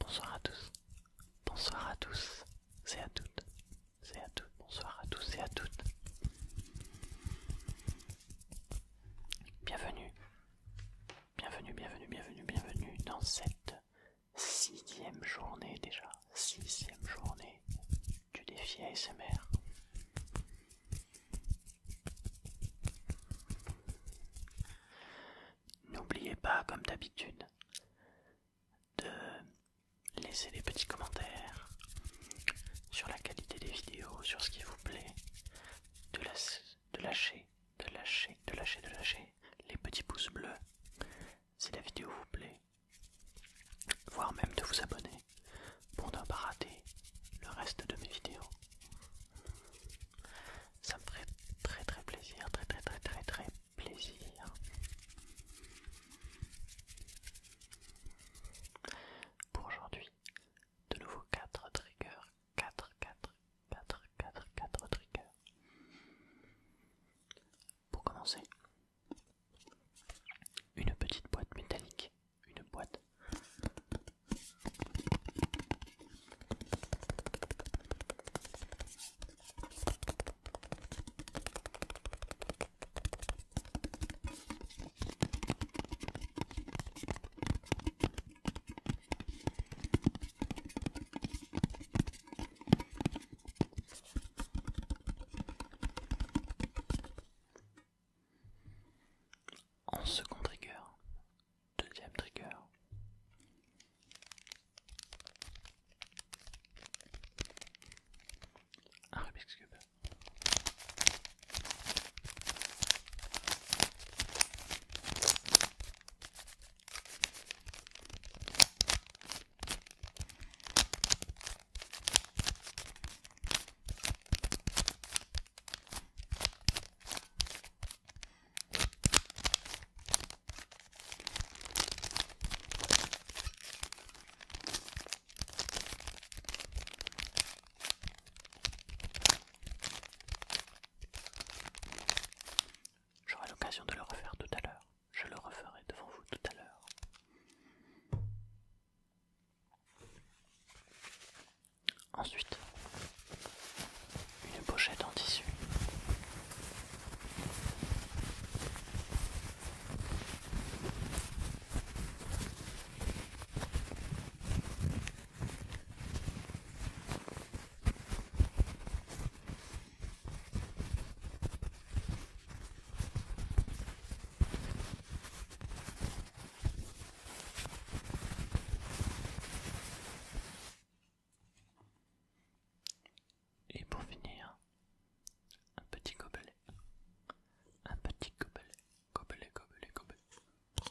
Bonsoir à tous, bonsoir à tous, c'est à toutes, c'est à toutes, bonsoir à tous et à toutes. Bienvenue, bienvenue, bienvenue, bienvenue, bienvenue dans cette sixième journée déjà, sixième journée du défi ASMR. N'oubliez pas, comme d'habitude, de laisser des petits commentaires sur la qualité des vidéos, sur ce qui vous plaît, de, lâcher, de lâcher, de lâcher, de lâcher les petits pouces bleus si la vidéo vous plaît, voire même de vous abonner pour ne pas rater le reste de mes vidéos. Ça me ferait très très plaisir, très très très très très plaisir. Pour aujourd'hui, de nouveau 4 triggers, 4, 4, 4, 4, 4 triggers. Pour commencer, une petite boîte métallique une boîte en second trigger, deuxième trigger. Un Rubik's Cube. J'aurai l'occasion de le refaire tout à l'heure. Je le referai devant vous tout à l'heure. Ensuite, une pochette en tissu. Et pour finir, un petit gobelet. Un petit gobelet. Gobelet, gobelet, gobelet. Petit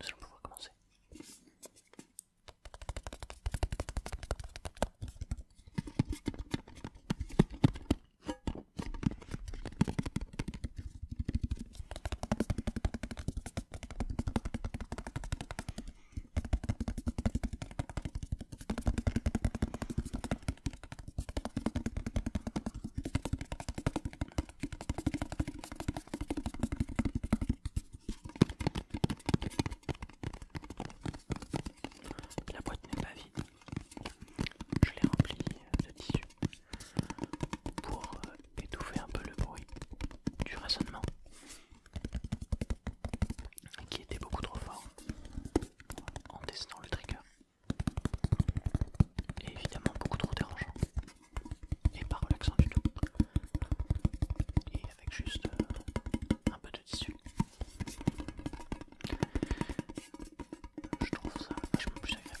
Nous allons pouvoir commencer. La boîte n'est pas vide. Je l'ai remplie de tissu pour euh, étouffer un peu le bruit du raisonnement qui était beaucoup trop fort en dessinant le trigger et évidemment beaucoup trop dérangeant et pas relaxant du tout. Et avec juste euh, un peu de tissu. Je trouve ça vachement plus agréable.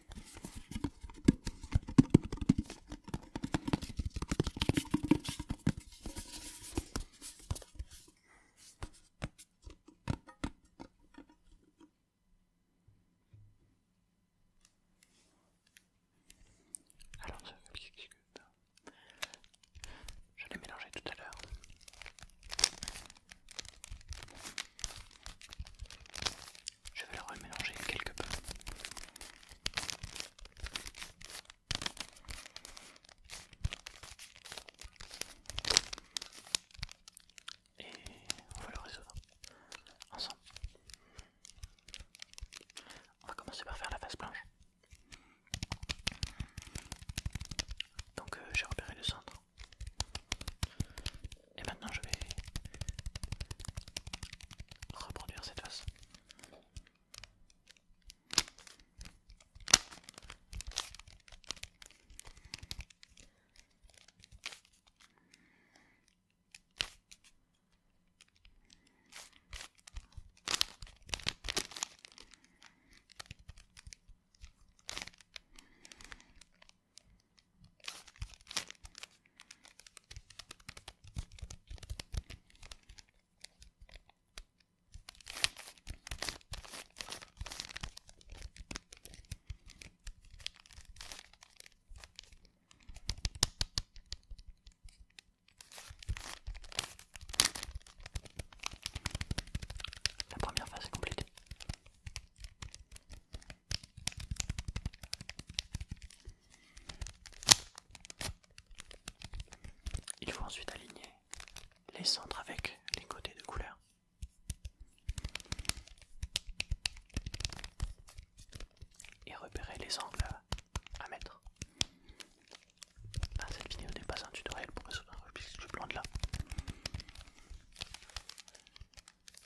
Alors je vais mixer ça. Je l'ai mélangé tout à l'heure. Je vais le remélanger quelque peu. Et on va le résoudre ensemble. On va commencer par faire la face blanche. Donc euh, j'ai repéré le centre. Et maintenant je vais reproduire cette face. La première phase est complétée. Il faut ensuite aligner les centres avec les côtés de couleur. Et repérer les angles à mettre. cette vidéo n'est pas un tutoriel pour résoudre un de là.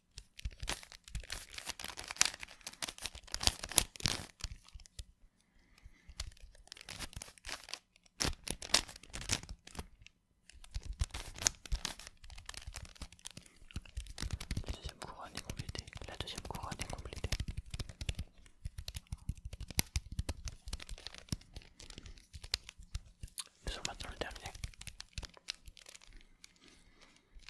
La deuxième couronne est complétée. La deuxième couronne est complétée. Nous sommes maintenant le dernier.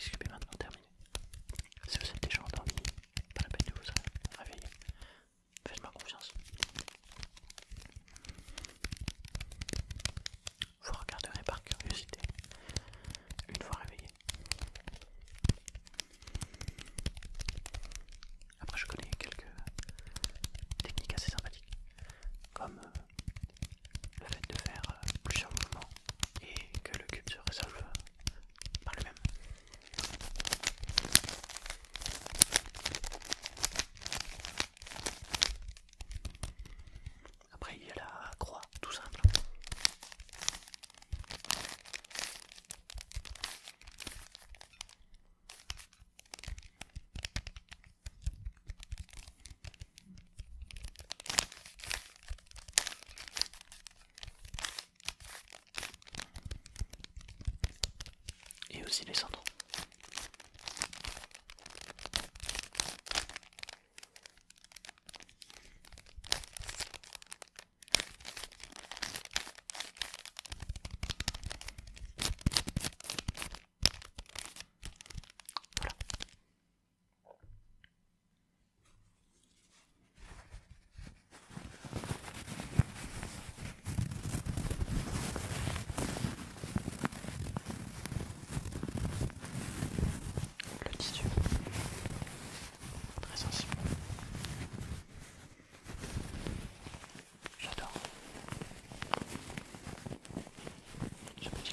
Je vais en maintenant, terminé. Si vous êtes déjà endormi, pas la peine de vous réveiller. Faites-moi confiance. Vous regarderez par curiosité une fois réveillé. Après, je connais quelques techniques assez sympathiques, comme euh, le fait de faire euh, plusieurs mouvements et que le cube se résolve par lui-même. Après il y a la croix, tout simple. Et aussi les cendres. Voilà. Le tissu très sensible. J'adore. Ce petit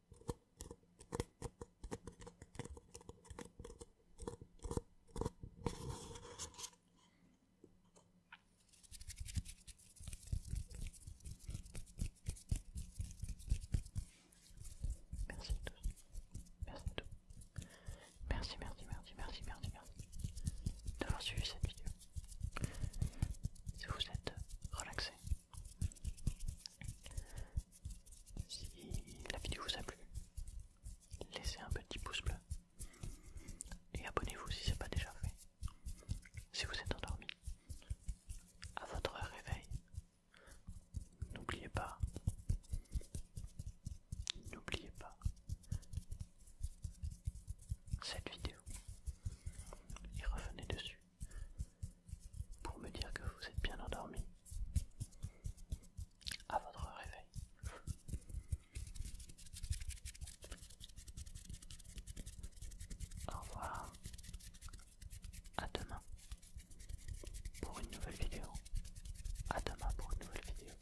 Merci tous. Merci tous. Merci, merci, merci, merci, merci, merci d'avoir suivi cette vidéo si vous êtes relaxé. Si la vidéo vous a plu, laissez un petit pouce bleu et abonnez-vous si ce n'est pas déjà fait. Si vous êtes endormi, à votre réveil, n'oubliez pas, n'oubliez pas cette vidéo et revenez dessus pour me dire que vous êtes bien endormi à votre réveil. Au revoir. À demain pour une nouvelle vidéo. À demain pour une nouvelle vidéo.